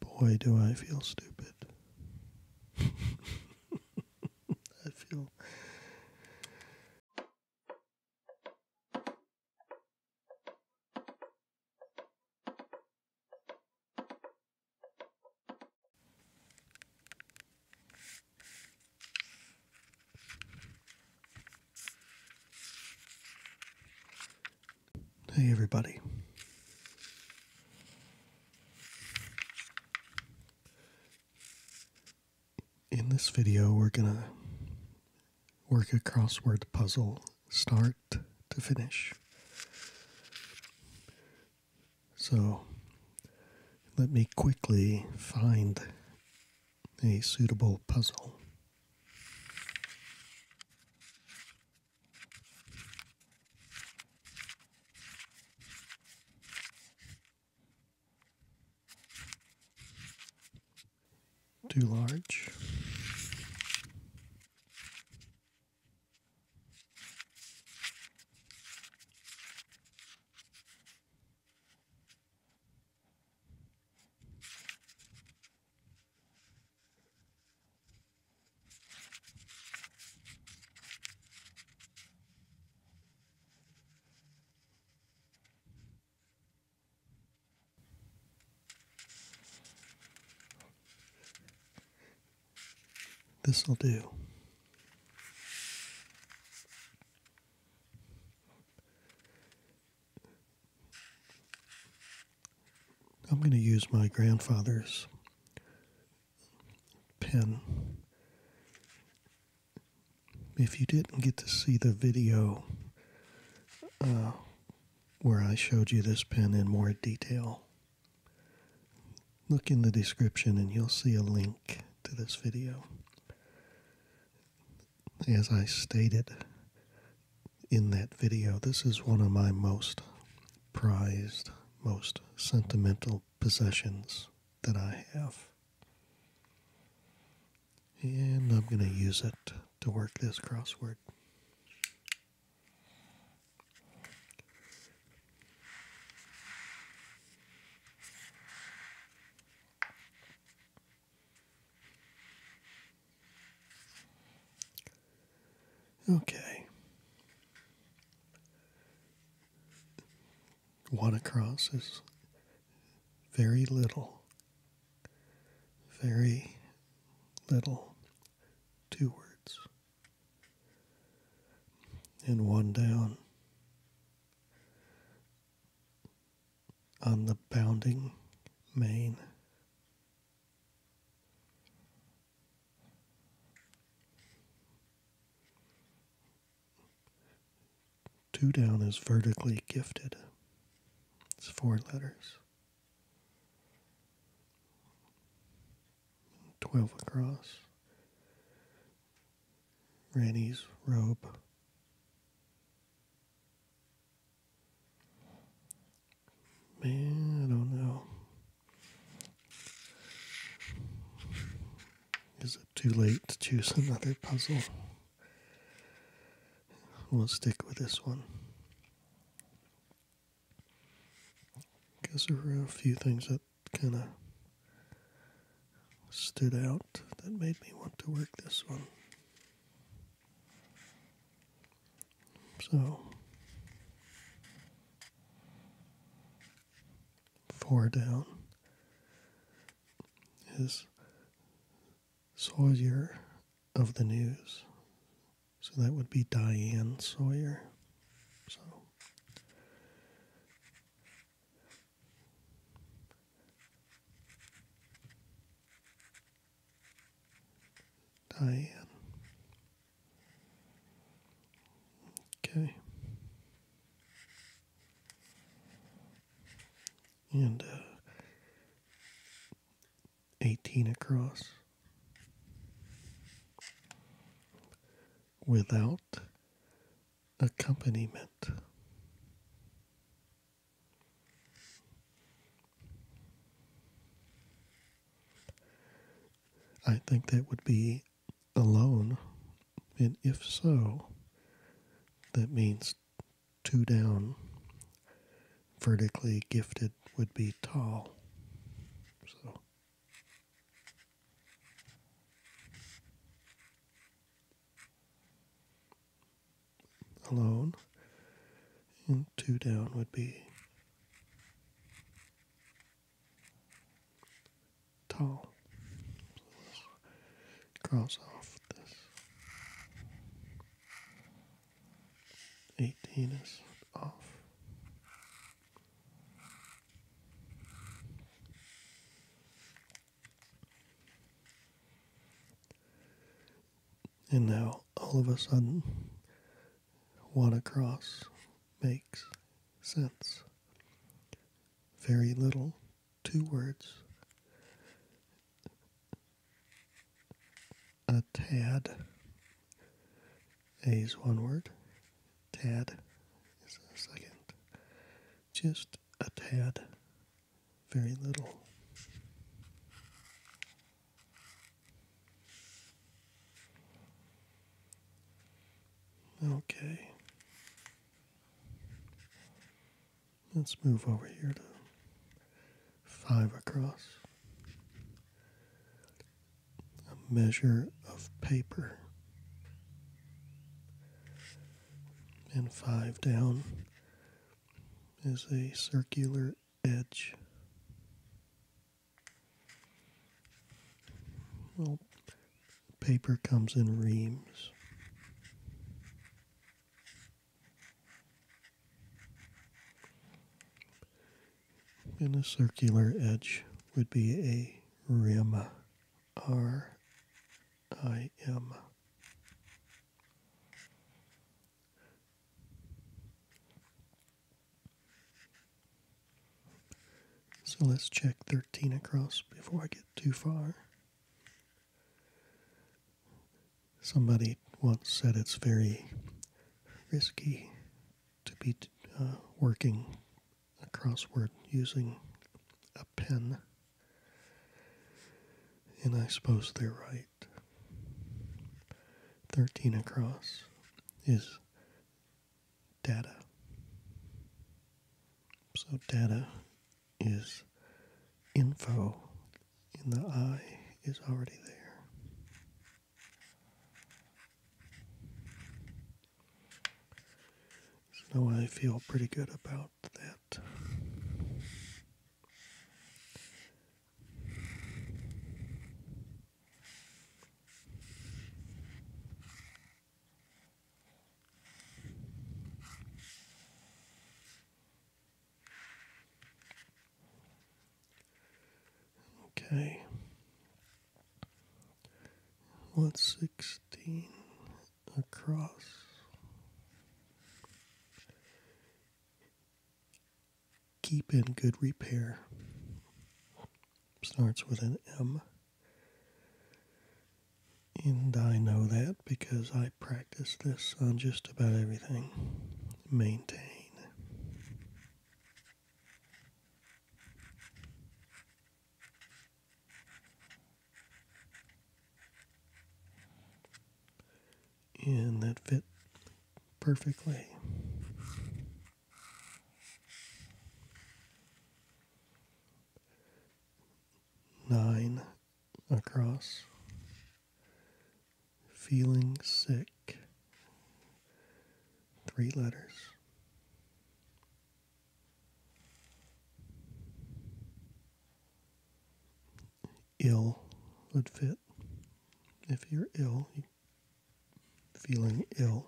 Boy, do I feel stupid. I feel. Hey, everybody. In this video, we're gonna work a crossword puzzle start to finish. So, let me quickly find a suitable puzzle. Too large. This'll do. I'm going to use my grandfather's pen. If you didn't get to see the video uh, where I showed you this pen in more detail, look in the description and you'll see a link to this video. As I stated in that video. This is one of my most prized, most sentimental possessions that I have. And I'm going to use it to work this crossword. Okay. One across is very little, very little, two words. And one down on the bounding main. Two down is vertically gifted. It's four letters. Twelve across. Granny's robe. Man, I don't know. Is it too late to choose another puzzle? We'll stick with this one. Because there were a few things that kind of stood out that made me want to work this one. So, four down is Sawyer of the News. So that would be Diane Sawyer. So, Diane Okay. And uh, 18 across without accompaniment. I think that would be alone. And if so, that means two down. Vertically gifted would be tall. So. Alone, and two down would be tall. cross off this. 18 is off. And now all of a sudden Wanacross makes sense. Very little, two words. A tad. A is one word. Tad is a second. Just a tad. Very little. Okay. Let's move over here to five across. A measure of paper. And five down is a circular edge. Well, paper comes in reams. And a circular edge would be a rim. R I M. So let's check 13 across before I get too far. Somebody once said it's very risky to be uh, working a crossword using a pen. And I suppose they're right. 13 across is data. So data is info in the I is already there. So I feel pretty good about that. Okay. What's sixteen across? keep in good repair. Starts with an M. And I know that because I practice this on just about everything. Maintain. And that fit perfectly. Nine across. Feeling sick. Three letters. Ill would fit. If you're ill, feeling ill.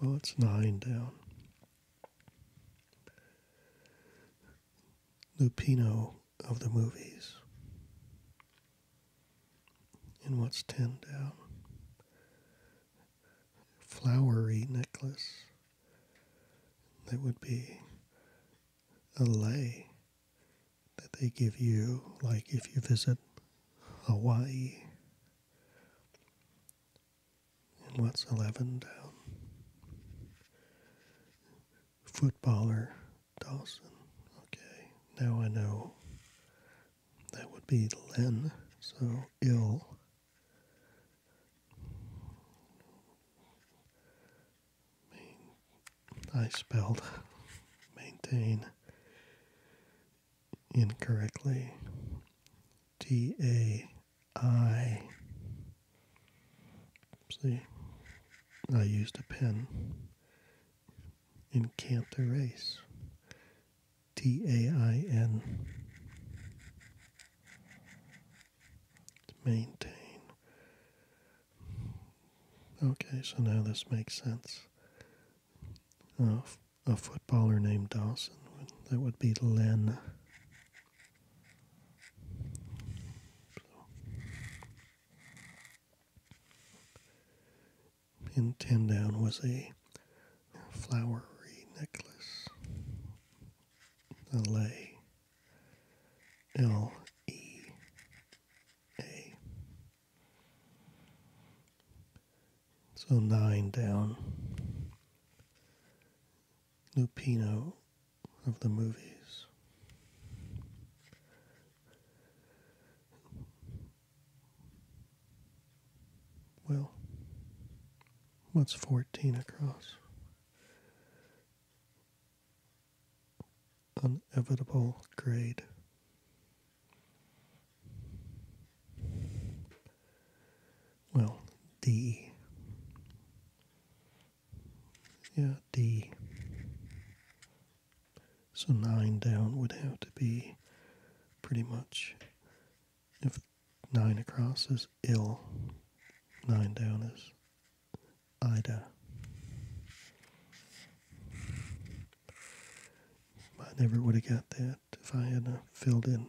Well, it's nine down. Lupino of the movies. And what's ten down? Flowery necklace. That would be a lay that they give you, like if you visit Hawaii. And what's 11 down? Footballer Dawson. Okay, now I know that would be Len, so ill. I spelled maintain incorrectly. T A I. See, I used a pen and can't erase. T A I N. Maintain. Okay, so now this makes sense. a footballer named Dawson, that would be Len. in Tim was a flowery necklace, L E A. So nine down. Lupino of the movies. Well, what's 14 across? inevitable grade. Well, D. Yeah, D. So nine down would have to be pretty much if nine across is ill, nine down is Ida. I never would have got that if I hadn't filled in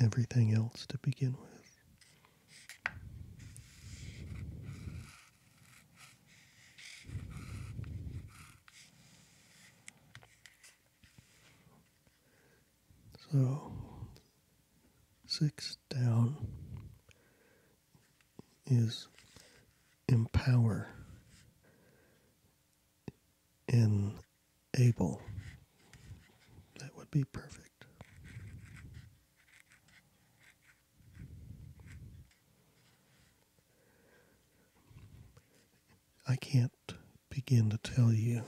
everything else to begin with. So, six down, is empower, able. That would be perfect. I can't begin to tell you,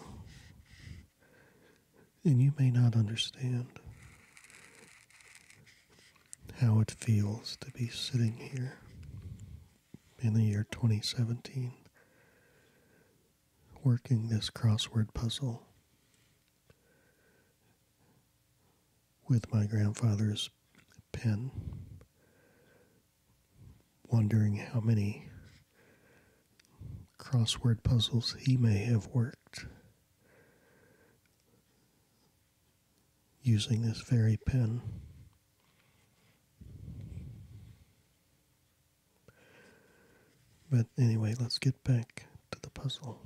and you may not understand how it feels to be sitting here in the year 2017 working this crossword puzzle with my grandfather's pen, wondering how many crossword puzzles he may have worked using this very pen. But anyway, let's get back to the puzzle.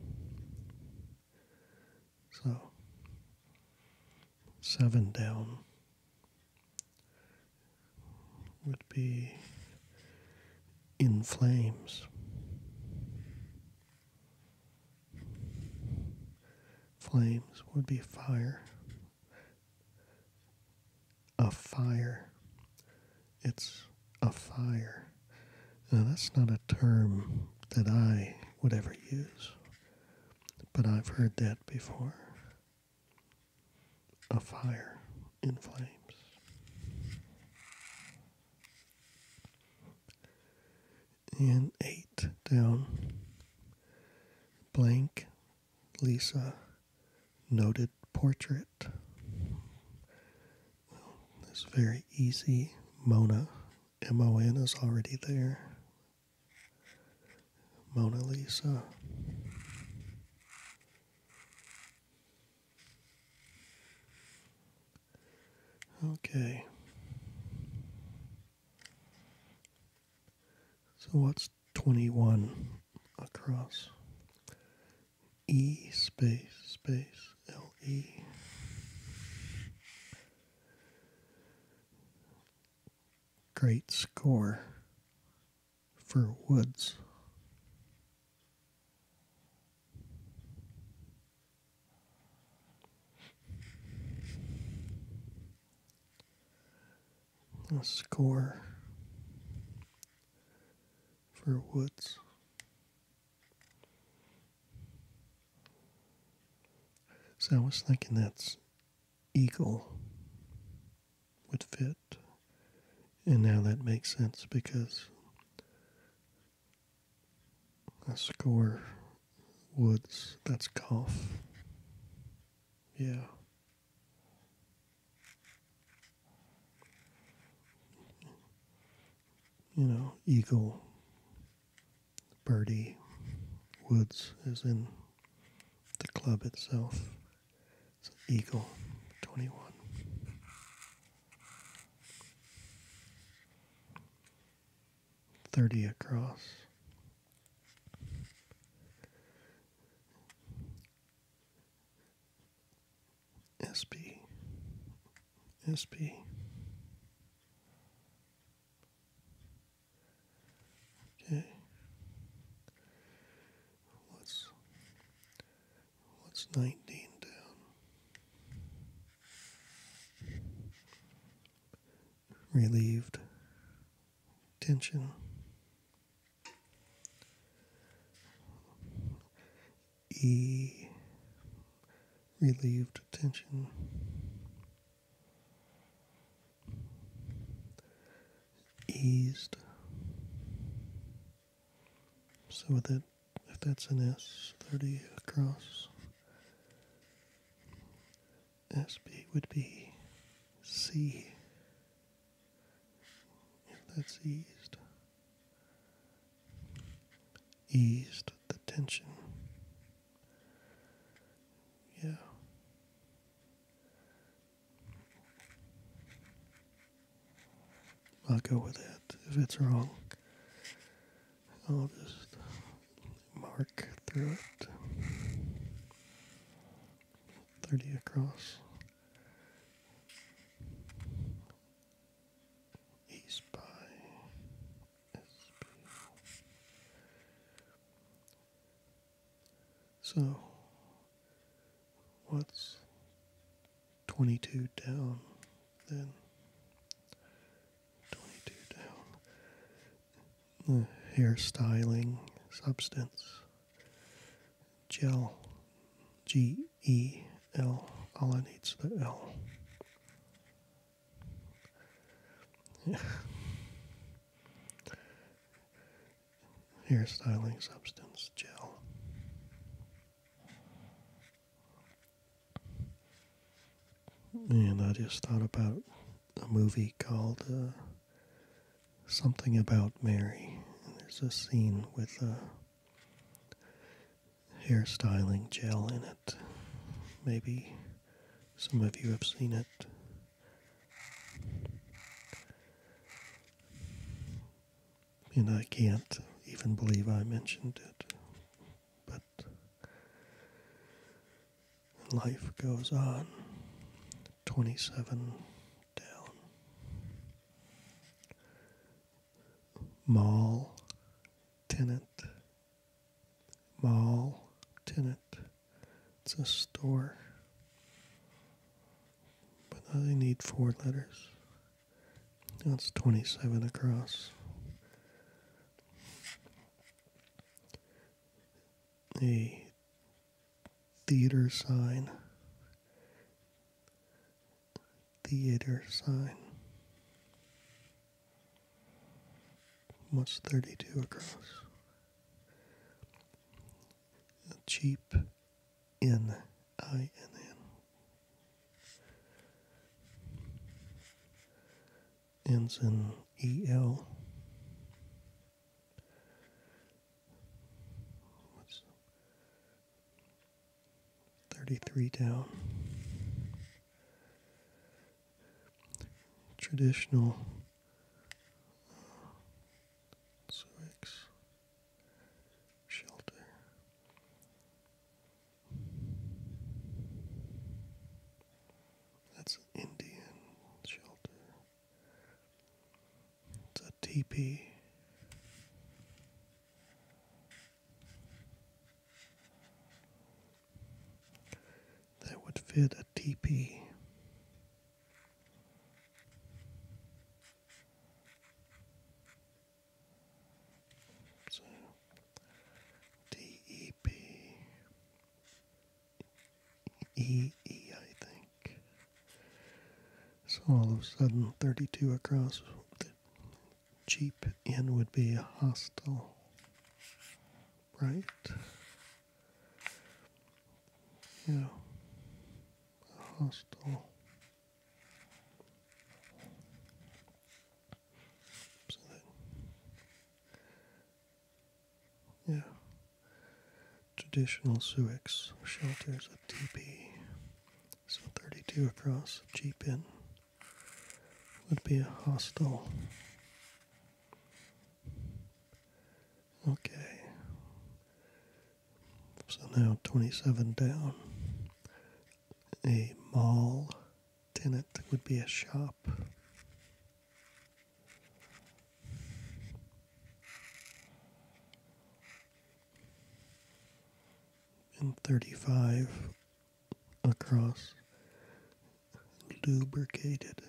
So, seven down would be in flames. Flames would be fire. A fire. It's a fire. Now, that's not a term that I would ever use, but I've heard that before. A fire in flames and eight down. Blank Lisa noted portrait. This very easy Mona. M O N is already there. Mona Lisa. Okay. So what's 21 across? E space space L E. Great score for Woods a score for Woods. So I was thinking that's Eagle would fit. And now that makes sense because that's score Woods. That's golf. Yeah. You know, Eagle, Birdie, Woods is in the club itself. It's Eagle 21. 30 across. SB, SB. Okay. What's what's nineteen down? relieved tension. E relieved tension. Eased. So with that if that's an S thirty across SB would be C if that's eased. Eased the tension. Yeah. I'll go with that if it's wrong. I'll just mark through it. 30 across. East by So, what's 22 down then? 22 down. The hairstyling substance. Gel. G E L. All I need's the L. Yeah. Hairstyling substance gel. And I just thought about a movie called uh, Something About Mary. there's a scene with a hairstyling gel in it. Maybe some of you have seen it. And I can't even believe I mentioned it. But but life goes on. 27 down. Mall, tenant. Mall, tenant. It's a store. But I need four letters. That's 27 across a theater sign, theater sign. Must 32 across? cheap in, I N N ends in EL. What's 33 down? Traditional Civics uh, Shelter that's an Indian shelter. It's a teepee. That would fit a teepee. So D E P E E, I think. So all of a sudden, 32 across the cheap inn would be a hostel, right? Yeah, a hostel. Yeah. Traditional Suix shelters a TP. So 32 across, cheap in. Would be a hostel. Okay. So now 27 down. A mall in would be a shop. And 35 across lubricated.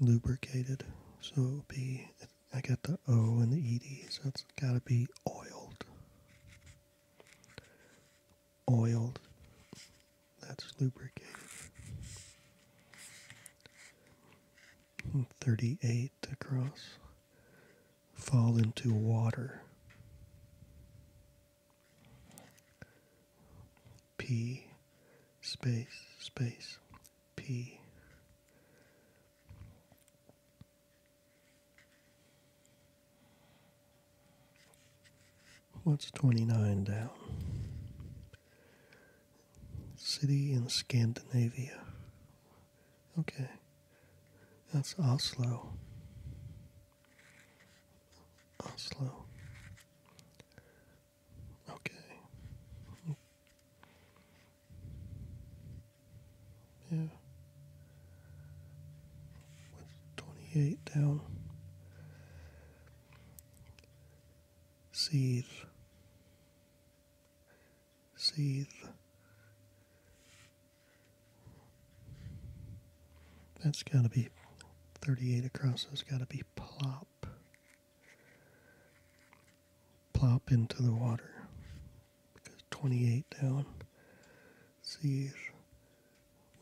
Lubricated. So it would be, I got the O and the ED, so it's got to be oiled oiled. That's lubricated. 38 across. Fall into water. P space space P What's 29 down? City in Scandinavia. Okay. That's Oslo. Oslo. Okay. Yeah with 28 down. Seethe, seethe. That's got to be 38 across. That's got to be plop. Plop into the water. Because 28 down Sir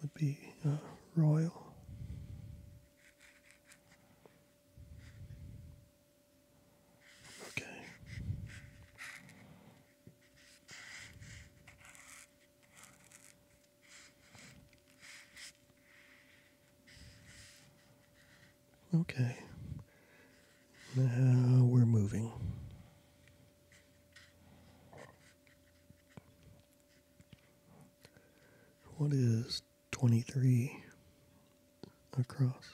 would be uh, royal. Okay. Okay. Now we're moving. What is 23 across?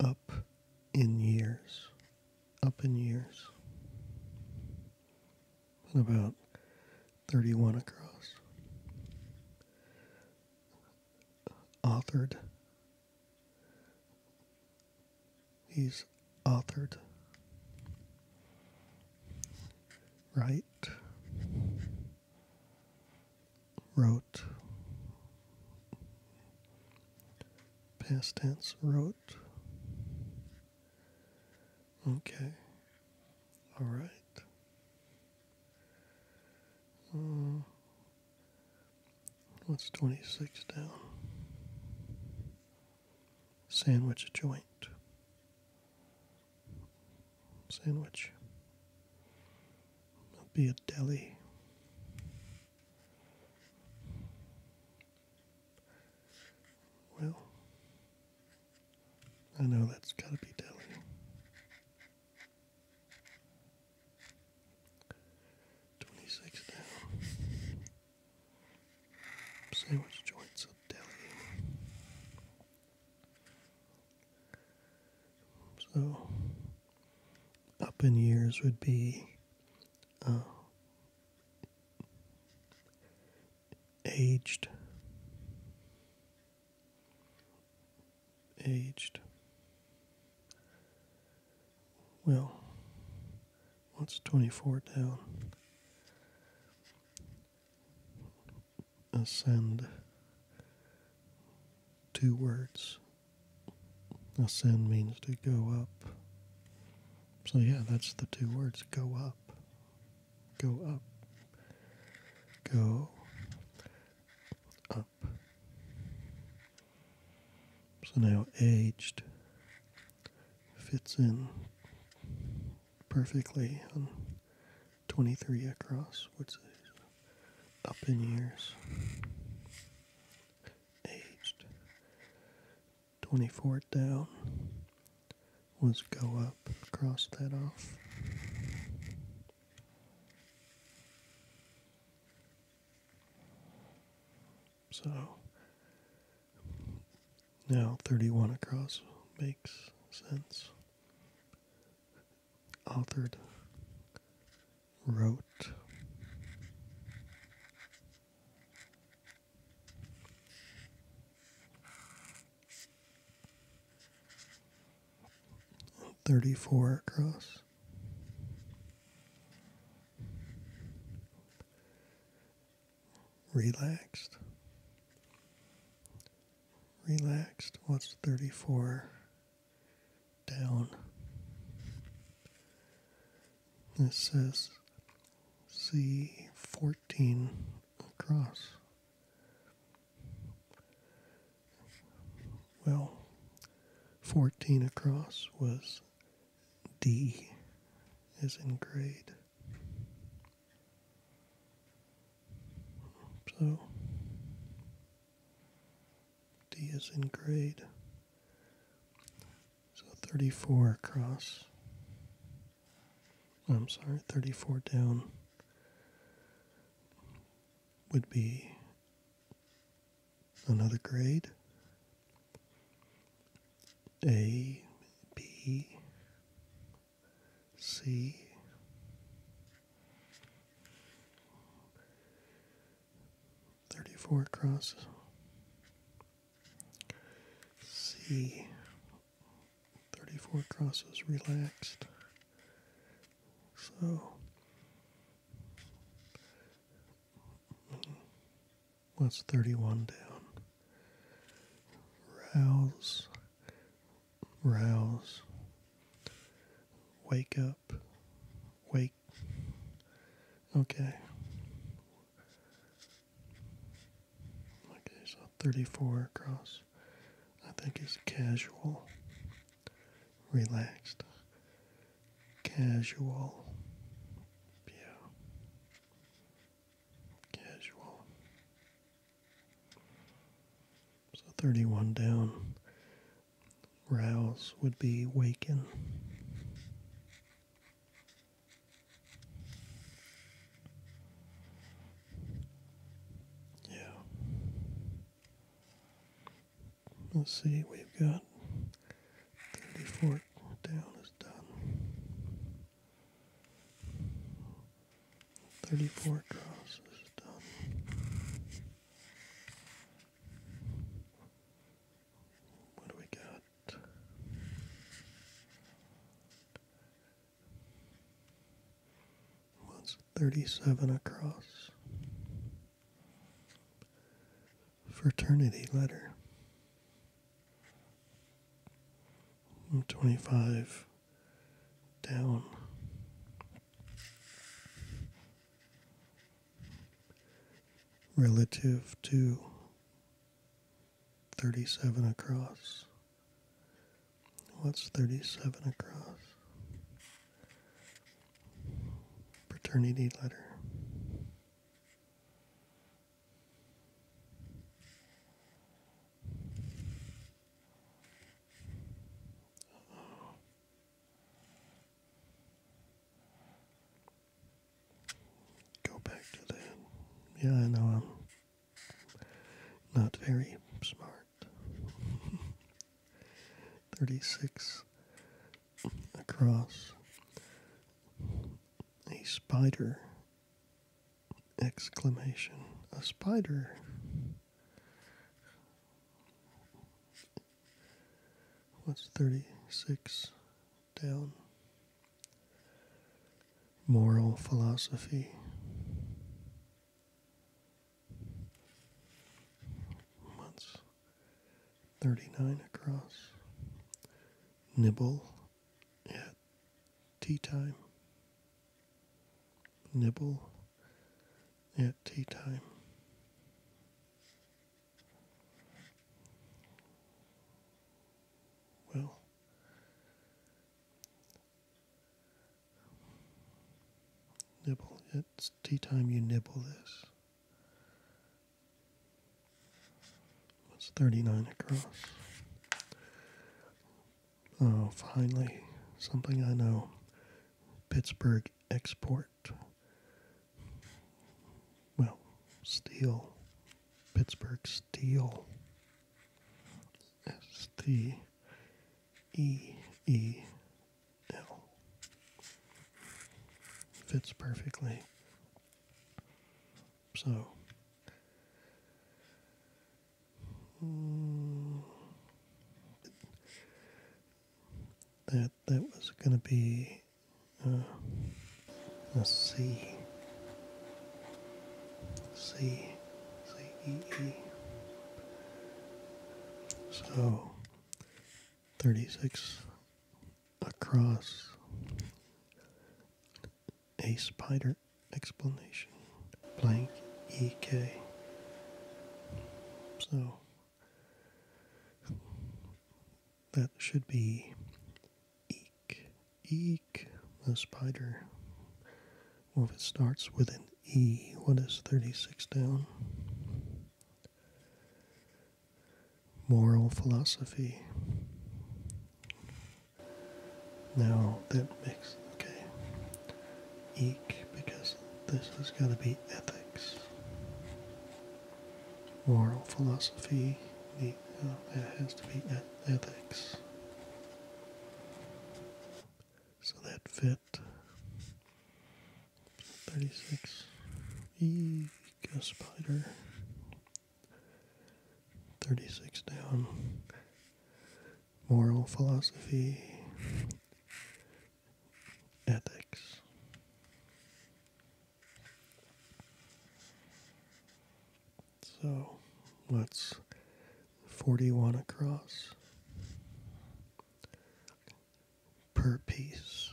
Up in years. Up in years. And about 31 across. Authored He's authored. Right. Wrote. Past tense, wrote. Okay. All right. Uh, What's 26 down? Sandwich joint. Sandwich. It'll be a deli. Well, I know that's gotta be deli. 26 down. Sandwich joints of Delhi. So, up in years would be uh, aged aged. Well, what's 24 down? Ascend. Two words. Ascend means to go up. So, yeah, that's the two words go up. Go up. Go up. So now aged fits in perfectly on 23 across, which is up in years. Aged. 24 down was go up, cross that off. So now 31 across makes sense. Altered wrote, 34 across. Relaxed. Relaxed. What's 34 down? This says C 14 across. Well, 14 across was D, as in grade. So, D is in grade. So 34 across. I'm sorry, 34 down would be another grade. A, B, C, thirty four across. C, thirty four crosses relaxed. So What's 31 down? Rouse, rouse, wake up, wake. Okay. Okay, so 34 across, I think is casual, relaxed casual. Yeah. Casual. So 31 down. Rouse would be waking. Yeah. Let's see, we've got 34 down is done. 34 draws is done. What do we got? What's 37 across? fraternity letter. 25 down. Relative to 37 across. What's 37 across? Paternity letter. Go back to that. Yeah, I know I'm not very smart. 36 across a spider exclamation a spider what's 36 down moral philosophy what's 39 across. Nibble at tea time. Nibble at tea time. Well, nibble. It's tea time, you nibble this. That's 39 across. Oh, finally, something I know. Pittsburgh Export. Well, steel. Pittsburgh Steel. S T E E yeah. Fits perfectly. So. that that was going to be uh, a C. C. C. E. E. So, 36 across a spider explanation blank EK. So that should be eek, eek, the spider. Well, if it starts with an E, what is 36 down? moral philosophy. Now that makes okay. Eek, because this has got to be ethics. Moral philosophy. The, that has to be ethics. So that fit. 36. Eco spider. 36 down. Moral philosophy. Ethics. So let's 41 across per piece.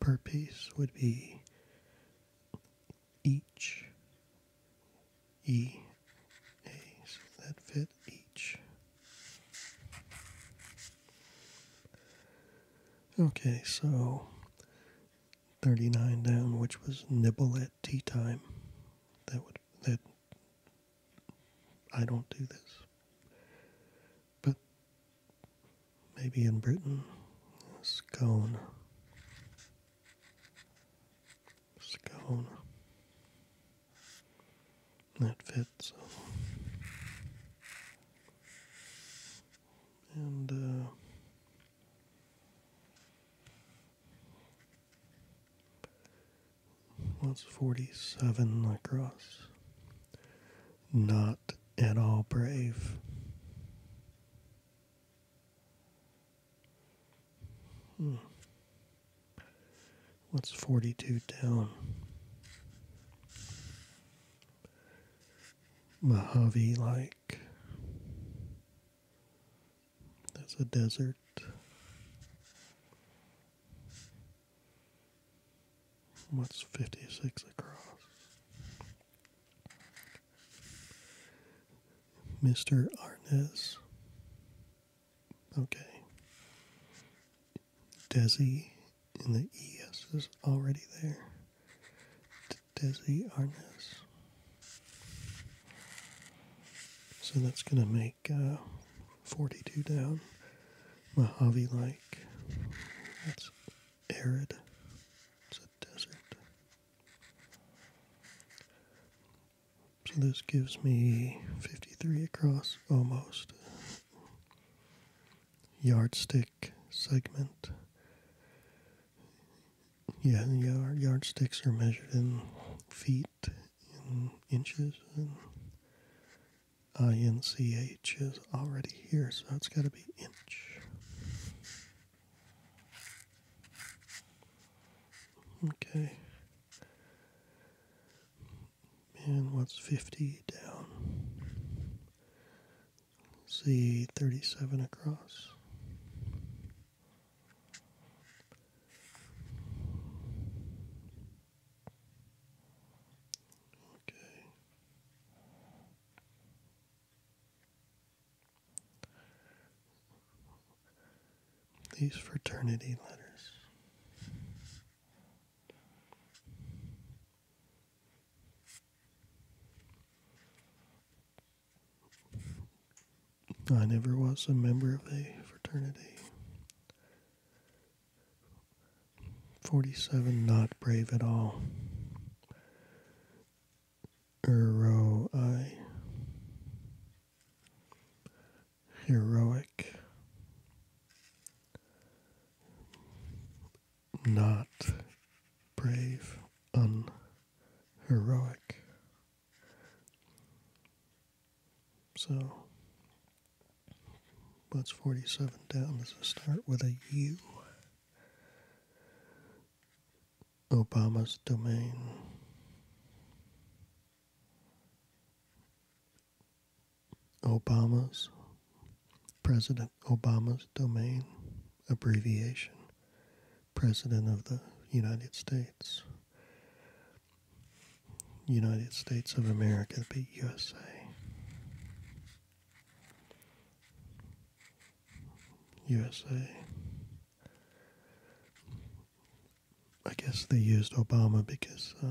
Per piece would be each, E, A, so that fit each. Okay, so 39 down, which was nibble at tea time. That would that I don't do this. But maybe in Britain, scone. Scone. That fits. And, uh, What's 47 across? Not at all brave. Hmm. What's 42 down? Mojave like. That's a desert. What's 56 across? Mr. Arnez. Okay. Desi and the ES is already there. Desi Arnez. So that's going to make uh, 42 down. Mojave like That's arid. It's a desert. So this gives me 53 across almost. Yardstick segment. Yeah, yard, yardsticks are measured in feet in inches, and INCH is already here, so it's got to be inch. Okay. And what's 50 down? See 37 across. Okay. These fraternity letters. I never was a member of a fraternity. 47 not brave at all. Ero I heroic not brave unheroic so what's 47 down? Does it start with a U? Obama's domain. Obama's, President Obama's domain, abbreviation, President of the United States. United States of America the USA. USA. I guess they used Obama because uh,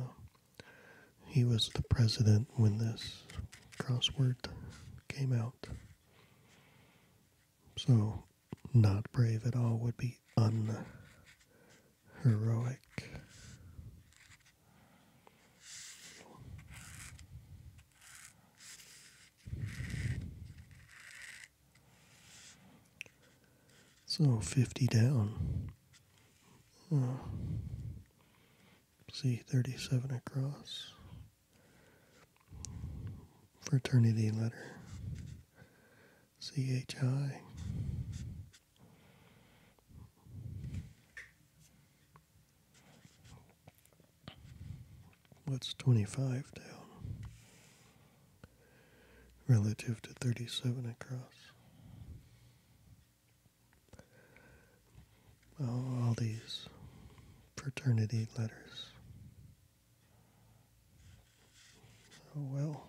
he was the president when this crossword came out. So, not brave at all would be un heroic. So 50 down. Oh. See, 37 across. Fraternity letter. CHI. What's 25 down relative to 37 across? Oh, all these fraternity letters. Oh well,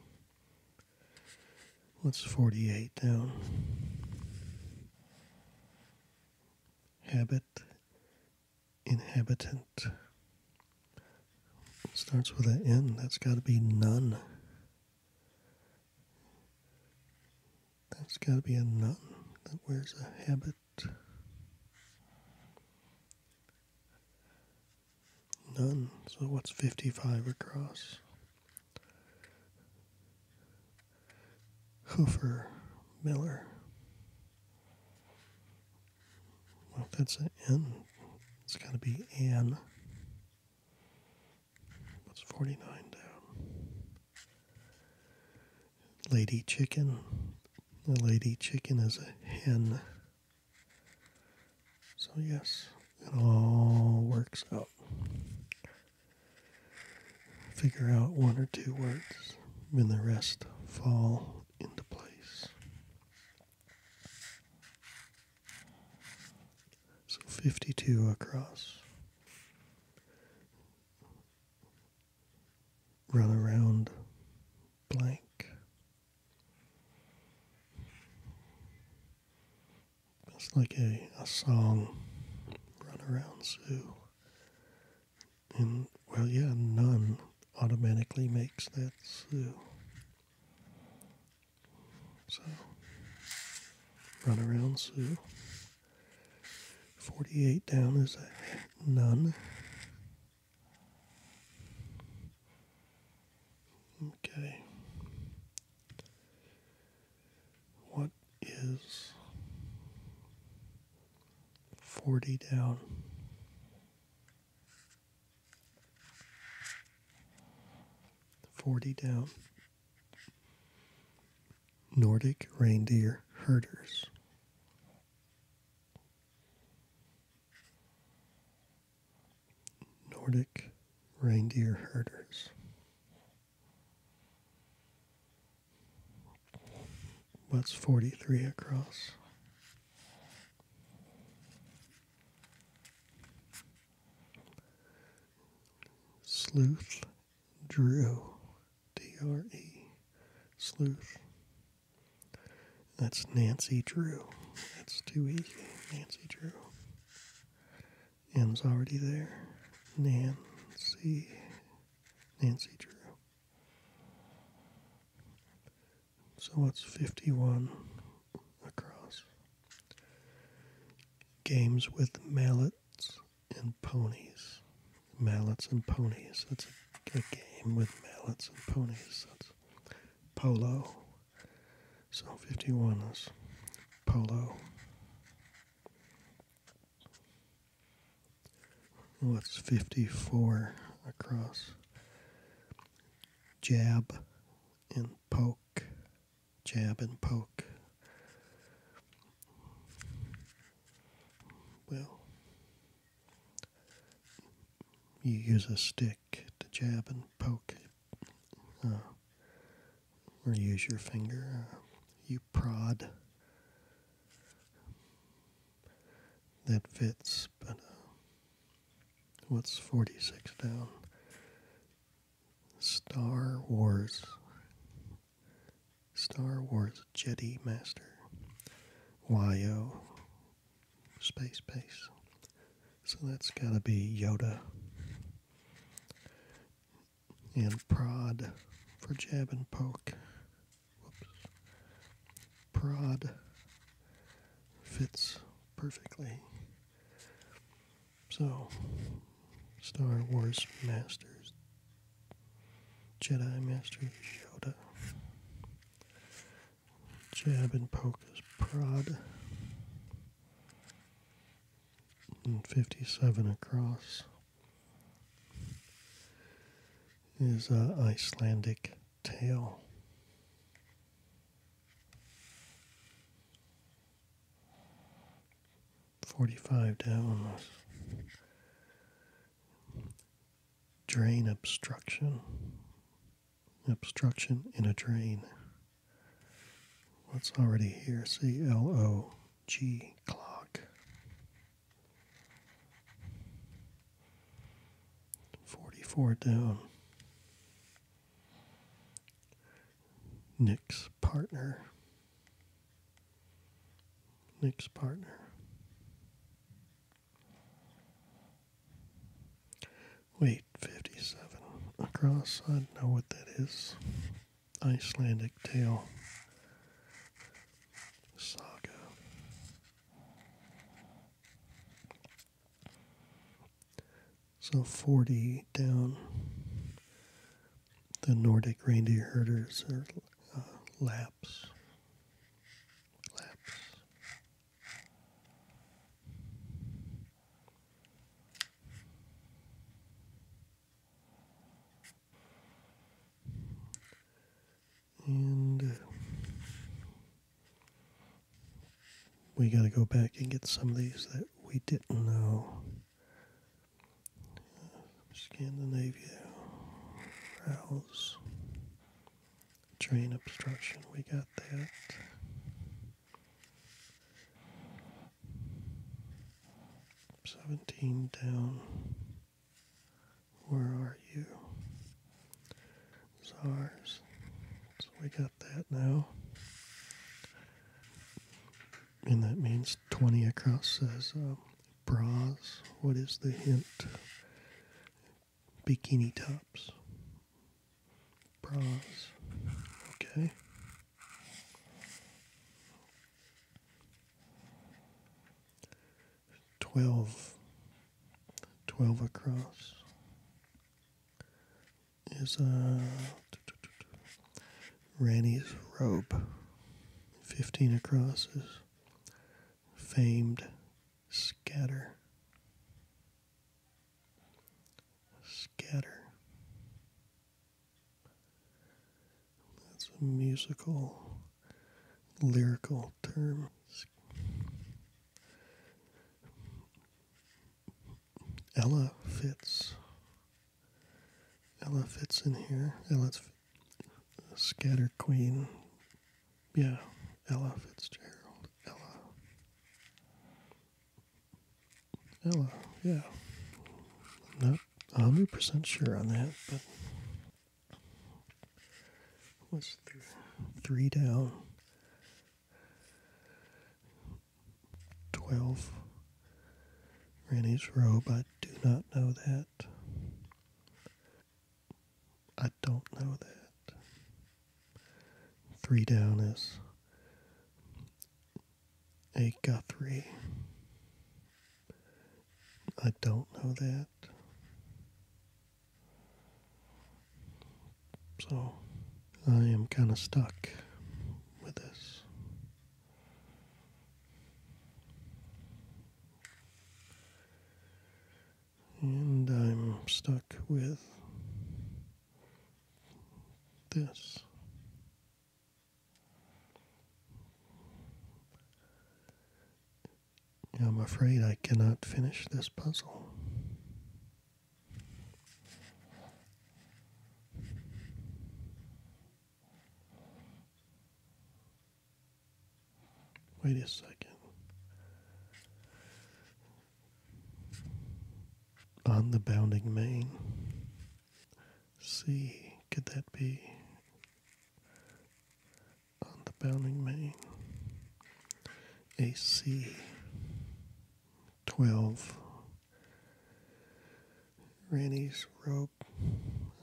What's 48 down? Habit, inhabitant. starts with an N, that's got to be none. That's got to be a nun that wears a habit. None. So what's 55 across? Hoofer Miller. Well, that's an N, it's got to be an. What's 49 down? Lady Chicken. The lady chicken is a hen. So, yes, it all works out. Figure out one or two words, and the rest fall into place. So, 52 across. Run around blank it's like a, a song, Run Around Sue. And, well, yeah, none automatically makes that Sue. So, Run Around Sue. 48 down is a none. Okay. What is 40 down? Forty down. Nordic reindeer herders. Nordic reindeer herders. What's 43 across? Sleuth Drew, D R E, Sleuth. That's Nancy Drew. That's too easy, Nancy Drew. M's already there. Nancy. Nancy Drew. So what's 51 across? Games with mallets and ponies. Mallets and ponies. That's a, a game with mallets and ponies. That's polo. So 51 is polo. What's 54 across. Jab and poke. Jab and poke. Well, you use a stick pick to jab and poke, uh, or use your finger. Uh, you prod. That fits, but uh, what's 46 down? Star Wars. Star Wars Jetty Master. YO. Space Base. So that's got to be Yoda. And prod for jab and poke. Whoops. Prod fits perfectly. So, Star Wars Masters, Jedi Master Yoda. Jab and poke is prod. 57 across is an Icelandic tale. Forty-five down drain obstruction obstruction in a drain. What's already here? C L O G clog. clock. four down. Nick's partner. Nick's partner. Wait, 57. Across, I don't know what that is. Icelandic tale. Saga. So 40 down. The Nordic reindeer herders are uh, Laps. Laps. And uh, we got to go back and get some of these that we didn't know. Scandinavia, Rouse, drain obstruction, we got that. Seventeen down. Where are you? SARS. So we got that now. And that means 20 across says um, bras. What is the hint? Bikini tops bras. Okay. Twelve. Twelve across is uh, Ranny's robe. Fifteen across is famed scatter. Scatter. That's a musical, lyrical term. Ella Fitz. Ella fits in here. Ella's Scatter Queen. Yeah, Ella Fitzgerald. Ella. Ella, yeah. I'm 100% sure on that, but what's th- three down? 12 Rennie's Robe. I do not know that. I don't know that. Three down is a Guthrie. I don't know that. So I am kind of stuck with this. And I'm stuck with this. I'm afraid I cannot finish this puzzle. Wait a second on the bounding main. C, could that be on the bounding main? AC 12. Ranny's rope.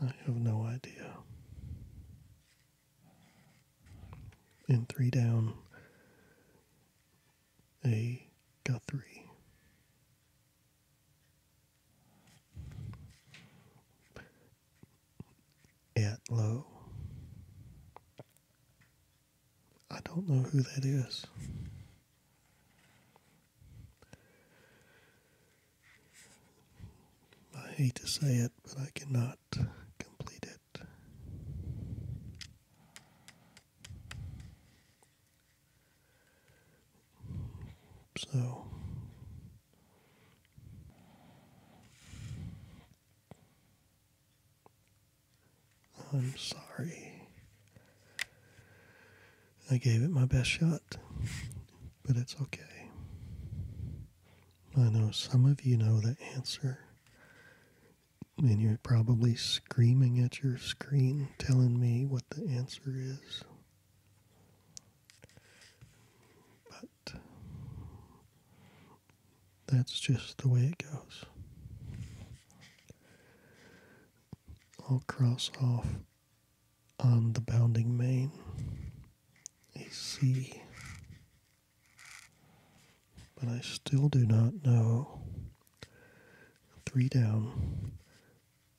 I have no idea. And three down, a. Guthrie. Atlow. I don't know who that is. I hate to say it, but I cannot complete it. So. I'm sorry. I gave it my best shot, but it's okay. I know some of you know the answer and you're probably screaming at your screen telling me what the answer is. But that's just the way it goes. I'll cross off on the bounding main a C but I still do not know. Three down.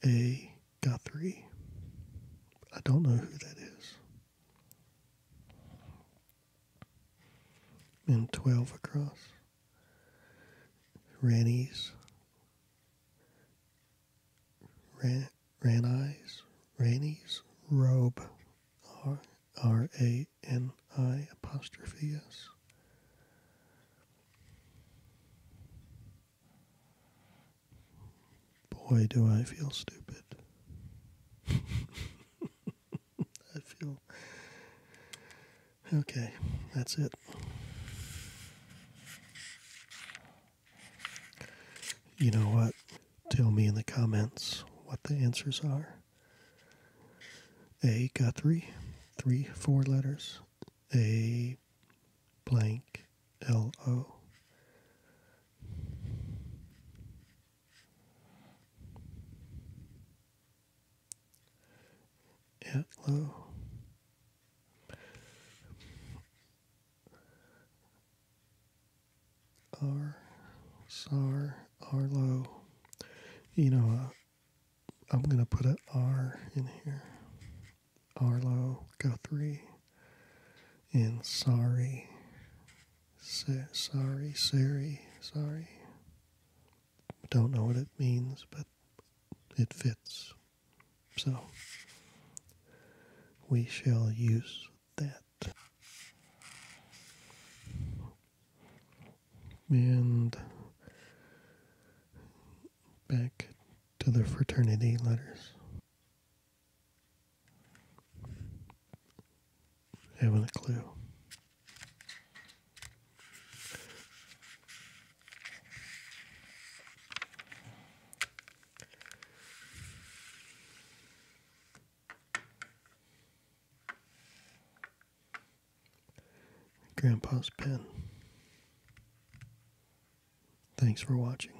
A got three. I don't know who that is. And 12 across. Rannies. Ran, Rannies. Rannies. Robe. R, R A N I apostrophe S. Boy, do I feel stupid. I feel. Okay, that's it. You know what? Tell me in the comments what the answers are. A Guthrie, three, four letters. A blank L O. At R, SAR, Arlo, you uh, I'm going to put an R in here. Arlo Guthrie And Sorry. Sa- sorry, Sari, sorry. Don't know what it means, but it fits. So we shall use that and back to the fraternity letters. Having a clue. Grandpa's pen. Thanks for watching.